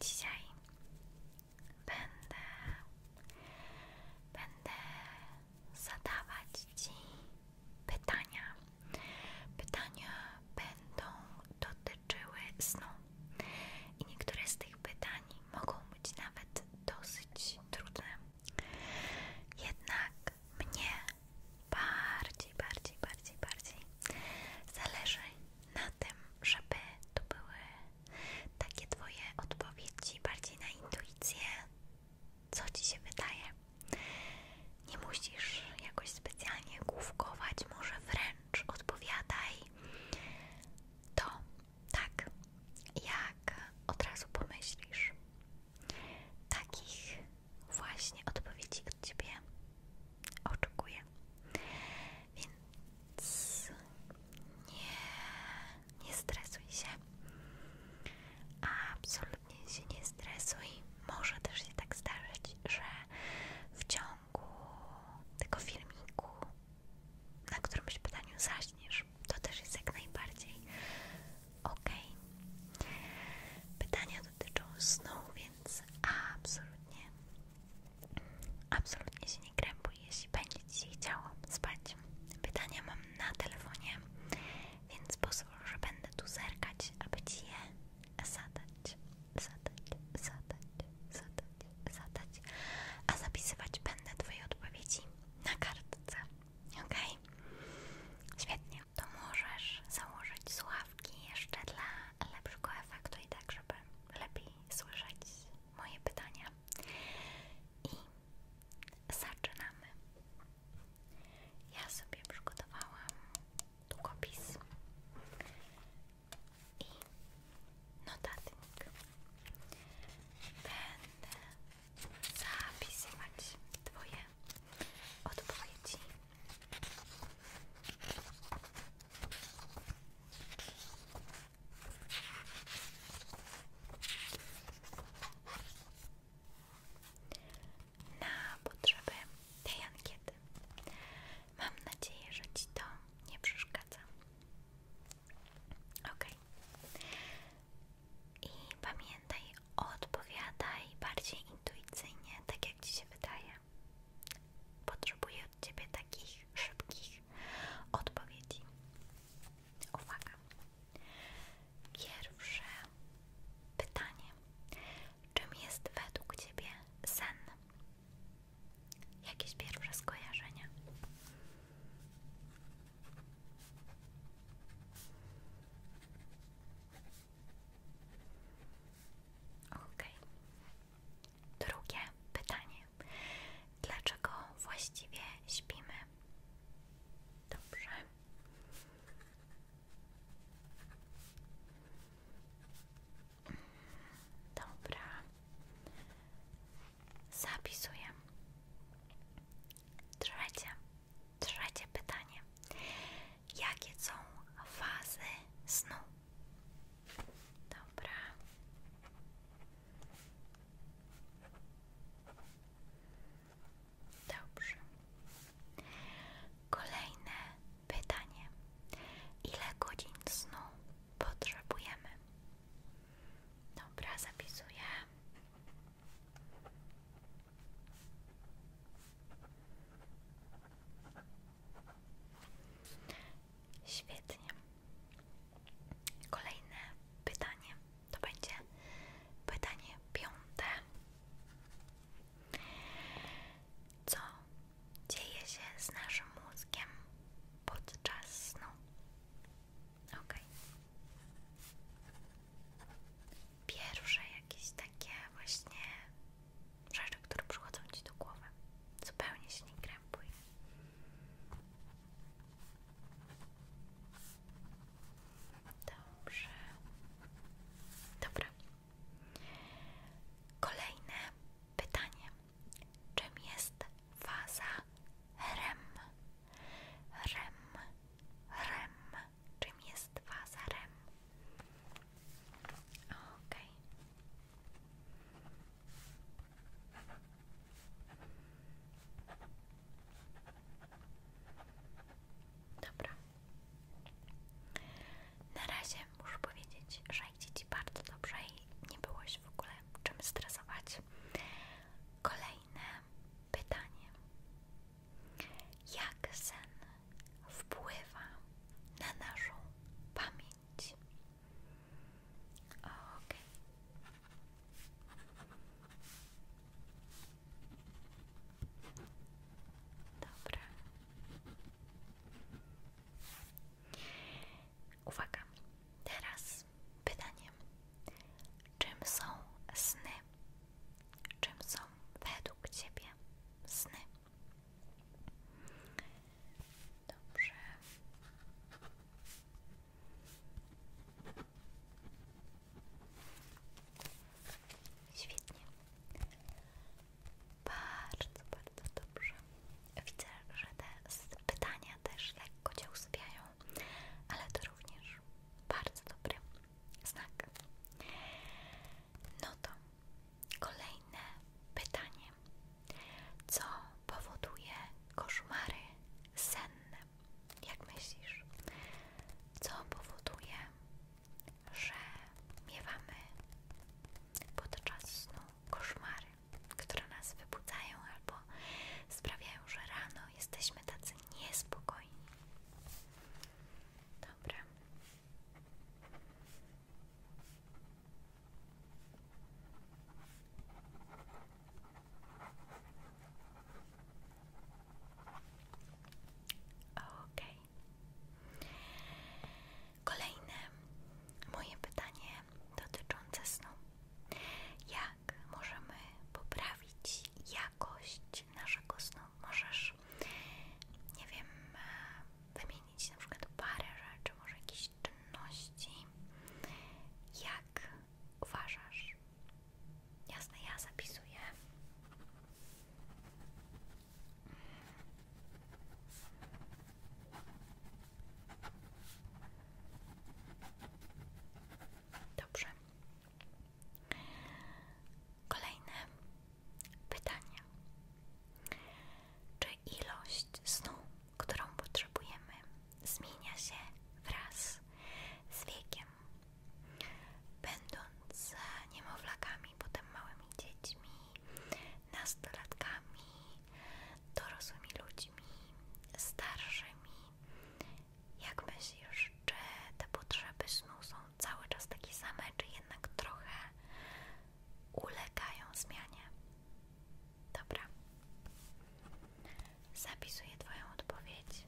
Dzisiaj będę będę zadawać ci pytania. Pytania będą dotyczące dotyczyły snu. I niektóre z tych pytań mogą być nawet dosyć trudne. Jednak mnie bardziej, bardziej, bardziej, bardziej zależy na tym, żeby to były takie Twoje odpowiedzi bardziej na intuicję, co Ci się wydaje. Nie musisz jakoś specjalnie główkować, może wręcz odpowiadaj to tak, jak od razu pomyślisz. Takich właśnie odpowiedzi od Ciebie oczekuję. Więc nie, nie stresuj się. Absolutnie się nie stresuj może też się tak zdarzyć, że w ciągu tego filmiku, na którymś pytaniu zaśniesz, to też jest jak najbardziej ok. Pytania dotyczą snu, więc absolutnie, absolutnie się nie krępuj, jeśli będzie Ci się spać. Pytania mam na telefonie, więc pozwól, że będę tu zerkać, aby Ci je zadać, zadać, zadać, zadać, zadać, a zapisywać będę Twoje odpowiedzi na kartce, ok? Świetnie. To możesz założyć słuchawki jeszcze dla lepszego efektu i tak, żeby lepiej słyszeć moje pytania. I zaczynamy. Ja sobie przygotowałam długopis notatnik. Będę zapisywać Twoje odpowiedzi na potrzeby tej ankiety. Mam nadzieję, że Ci to nie przeszkadza. Ok. I pamiętaj, odpowiadaj bardziej intuicyjnie, tak jak Ci się wydaje. Potrzebuję od Ciebie takich szybkich odpowiedzi. Uwaga. Pierwsze pytanie. Czym jest według Ciebie sen? Jakieś pierwsze skojarzenia? Okay. Drugie pytanie. Dlaczego właściwie śpimy? Dobrze. Dobra. Zapisuję. Trzecie. Trzecie pytanie. Jakie są fazy snu? Dobra. Dobrze. Kolejne pytanie. Ile godzin snu potrzebujemy? Dobra, zapisuję. Świetnie. Kolejne pytanie. To będzie pytanie piąte. Co dzieje się z naszym mózgiem podczas snu? Ok. Pierwsze jakieś takie właśnie rzeczy, które przychodzą ci do głowy. Zupełnie się nie krępuj. Dobrze. Dobra. Kolejne pytanie. Czym jest waza REM? REM, REM. Czym jest faza REM? Okej. Dobra. Na razie muszę powiedzieć, że idzie Ci bardzo dobrze i nie byłoś w ogóle czym stresować. Kolejne pytanie. Jak sen wpływa na naszą pamięć? Okej. Dobra. Uwaga. Teraz pytaniem. Czym są sny? Czym są według Ciebie sny? Dobrze. Świetnie. Bardzo, bardzo dobrze. Widzę, że te pytania też lekko Cię usypiają, ale to również bardzo dobry znak. No to kolejne pytanie. Co powoduje koszmary senne? Jak myślisz, co powoduje, że miewamy podczas snu koszmary, które nas wybudzają albo sprawiają, że rano jesteśmy tacy niespokojni? Dobra. Ok. Kolejne moje pytanie dotyczące snu. Jak możemy poprawić jakość naszego snu? Możesz, nie wiem, wymienić na przykład parę rzeczy, może jakieś czynności. Jak uważasz, Jasne, ja zapisuję. Dobrze. Kolejne pytanie. Czy ilość snu, którą potrzebujemy, zmienia się wraz z wiekiem? Będąc e, niemowlakami, potem małymi dziećmi, nastolatkami, dorosłymi ludźmi, starszymi, jak myślisz, czy te potrzeby snu są cały czas takie same, czy jednak trochę ulegają zmianie? Dobra, zapisuję Twoją odpowiedź.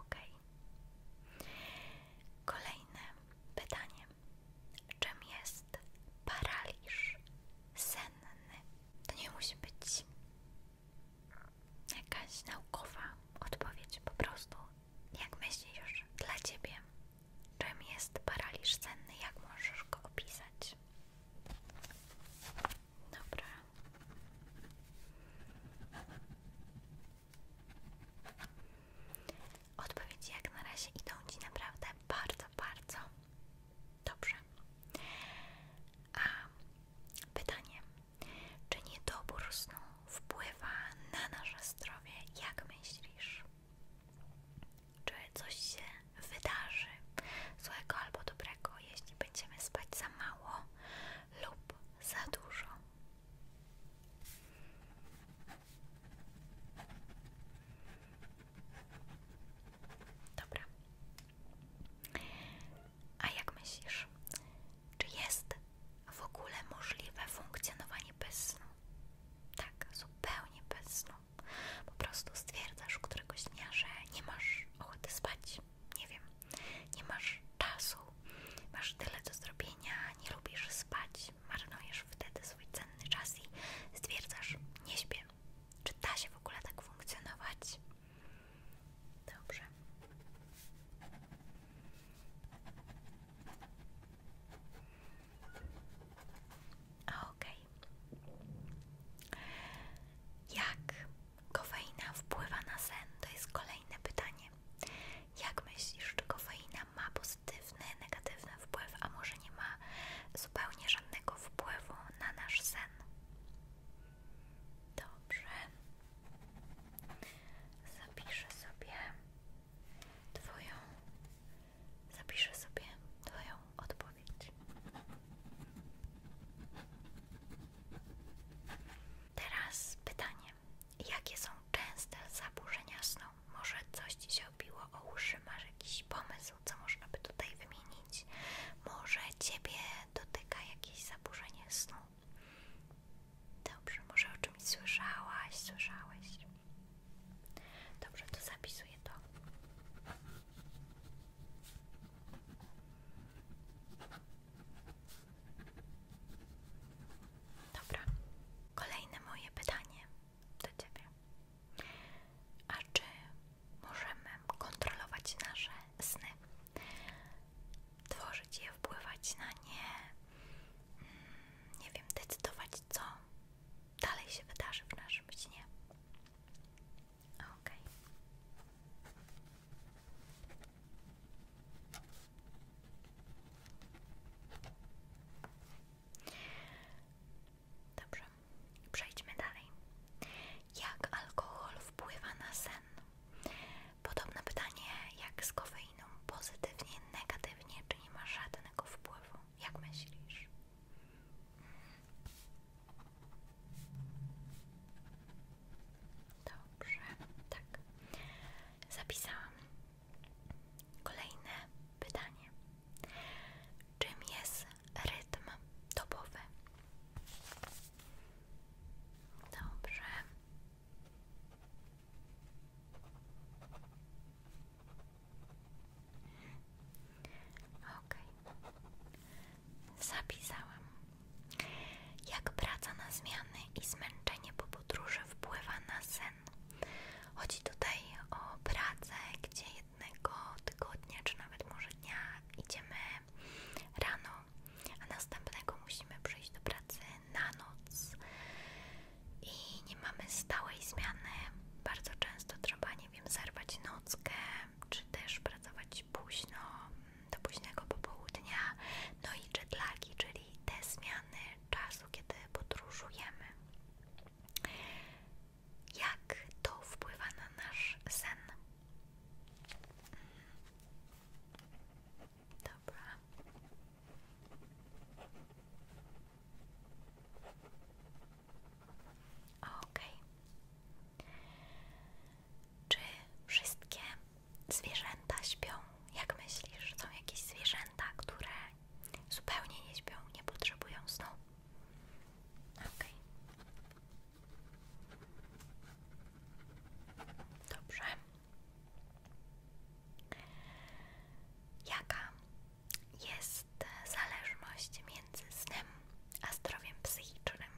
Ok. Kolejne pytanie. Czym jest paraliż senny? To nie musi być jakaś naukowa odpowiedź, po prostu jak myślisz, dla ciebie, czym jest paraliż senny? Jak możesz go opisać? Dobra. Odpowiedzi jak na razie idą Ci naprawdę bardzo, bardzo dobrze. A pytanie, czy niedobór snu wpływa na nasze zdrowie? Jak myślisz? Czy coś się wydarzy złego albo dobrego, jeśli będziemy spać za mało lub za dużo? Dobra. A jak myślisz? Czy jest w ogóle możliwe funkcjonowanie bez snu? Tak, zupełnie bez snu. Po prostu stwierdzasz któregoś dnia, że nie masz ochoty spać, nie wiem, nie masz czasu, masz tyle do zrobienia, nie lubisz spać, marnujesz wtedy swój cenny czas i stwierdzasz, nie śpię. Czy da się w ogóle tak funkcjonować? Dobrze. Okej. Okay. Jak kofeina wpływa na sen? To jest kolejne pytanie. Jak myślisz, czy kofeina ma pozytywny, negatywny wpływ, a może nie ma zupełnie żadnego wpływu na nasz sen? Dobrze. Zapiszę sobie Twoją. Zapiszę sobie Twoją odpowiedź. Teraz pytanie: jakie są częste zaburzenia snu? Może coś Ci się obiło o uszy? Masz jakiś pomysł, co można by tutaj wymienić? Może Ciebie dotyka jakieś zaburzenie snu? Dobrze, może o czymś słyszałaś, słyszałeś. Dobrze, to zapisuję to. Dobra. Kolejne moje pytanie do ciebie. A czy możemy kontrolować nasze sny? tworzyć je, wpływać na nie, mm, nie wiem, decydować, co dalej się wydarzy w naszym śnie. Okej. Dobrze, przejdźmy dalej. Jak alkohol wpływa na sen? Podobne pytanie jak z kofeiną. Pozytywnie, negatywnie, czy nie ma żadnego wpływu? Jak myślisz? Dobrze, tak. Zapisałam. Kolejne pytanie. Czym jest rytm dobowy? Dobrze. Okej. Okay. Zapisałam. Jak praca na zmiany i zmęczenie po podróży wpływa na sen. Chodzi tutaj o pracę, gdzie jednego tygodnia, czy nawet może dnia idziemy rano, a następnego musimy przyjść do pracy na noc i nie mamy stałej zmiany. Bardzo często trzeba, nie wiem, zerwać nockę, czy też pracować późno, do późnego popołudnia. No i jetlagi, czyli te zmiany czasu, kiedy podróżujemy. Jak to wpływa na nasz sen? Dobra. Okej. Czy wszystkie zwierzęta śpią? Jak myślisz, są jakieś zwierzęta, które zupełnie nie śpią, nie potrzebują snu? Okej. Dobrze. Jaka jest zależność między snem a zdrowiem psychicznym?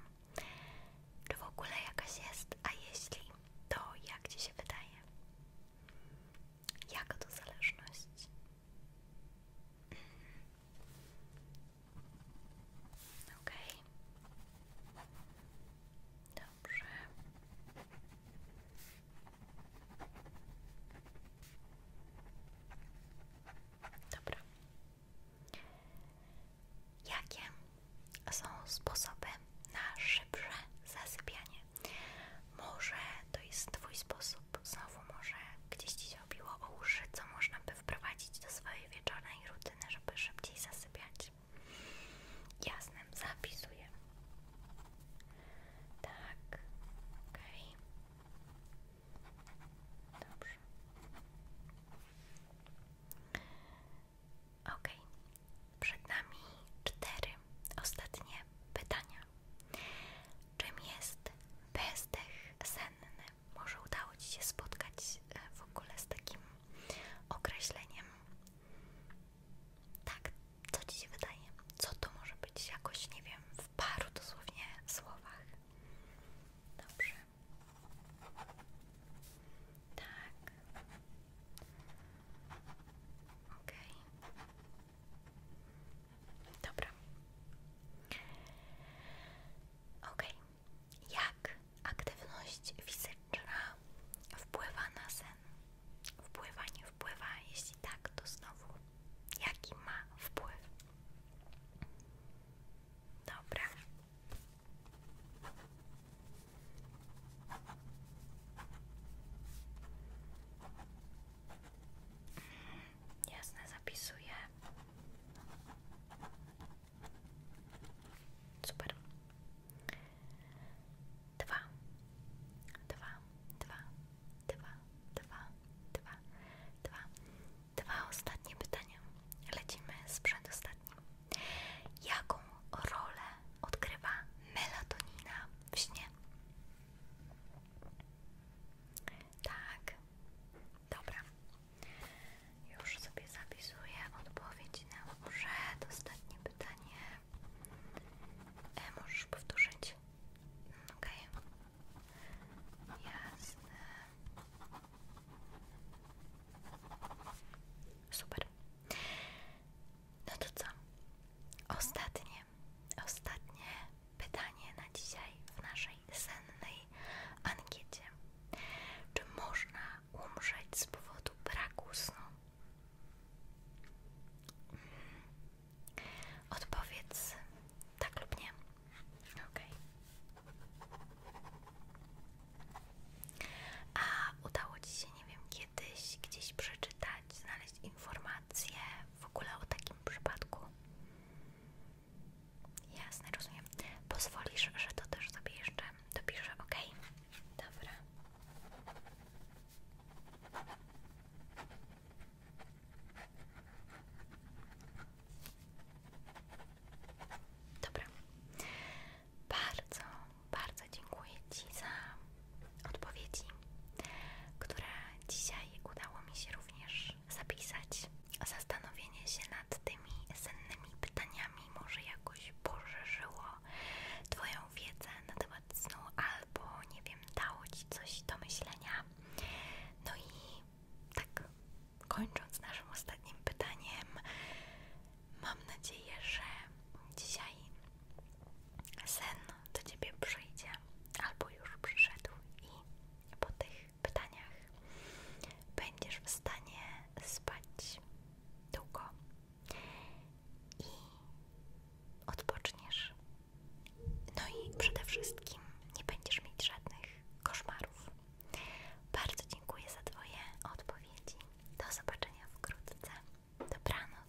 Czy w ogóle jakaś jest, a jeśli, to jak Ci się wydaje? Jaka to zależność? Ok. Dobrze. Dobra. Jakie są sposoby na szybsze zasypianie? Może to jest Twój sposób, znowu może gdzieś Ci się obiło o uszy, co można by wprowadzić do swojej wieczornej rutyny, żeby szybciej zasypiać. Jasne, zapisuję. Tak, Ok. Dobrze. Ok, przed nami cztery ostatnie pytania. Czym jest bezdech senny? Może udało Ci się spotkać e, w ogóle z takim określeniem. Tak, co Ci się wydaje? Co to może być jakoś, nie wiem, w paru dosłownie słowach? Dobrze. Tak. Okej. Dobra. Okej. Jak aktywność fizyczna wpływa na sen? Wpływa, nie wpływa? Jeśli tak, to znowu jaki ma wpływ? Dobra. Jasne, zapisuję. Super. Dwa, dwa, dwa, dwa, dwa, dwa, dwa. Dwa ostatnie pytania. Lecimy z przedostatnim. Jaką rolę odgrywa melatonina w śnie? Tak. Dobra. Już sobie zapisuję odpowiedź na przedostatnie pytanie. E, możesz powtórzyć? Mm, okej. Okay. Jasne. Super. No to co? Ostatnie, ostatnie pytanie na dzisiaj w naszej sennej ankiecie. Czy można umrzeć z powodu braku snu? Mm. Odpowiedz tak lub nie. Okay. A udało Ci się, nie wiem, kiedyś gdzieś przeczytać, znaleźć informacje w ogóle o takim przypadku? Jasne, rozumiem. Pozwolisz, że to też sobie jeszcze dopiszę, ok? Dobra. Dobra. Bardzo, bardzo dziękuję Ci za odpowiedzi, które dzisiaj udało mi się również zapisać zastanowienie się nad tymi sennymi pytaniami może jakoś poszerzyło Twoją wiedzę na temat snu albo, nie wiem, dało Ci coś do myślenia. No i tak kończąc naszym ostatnim pytaniem, mam nadzieję, że dzisiaj sen do Ciebie przyjdzie albo już przyszedł i po tych pytaniach będziesz w stanie spać długo i odpoczniesz. No i przede wszystkim nie będziesz mieć żadnych koszmarów. Bardzo dziękuję za Twoje odpowiedzi. Do zobaczenia wkrótce. Dobranoc.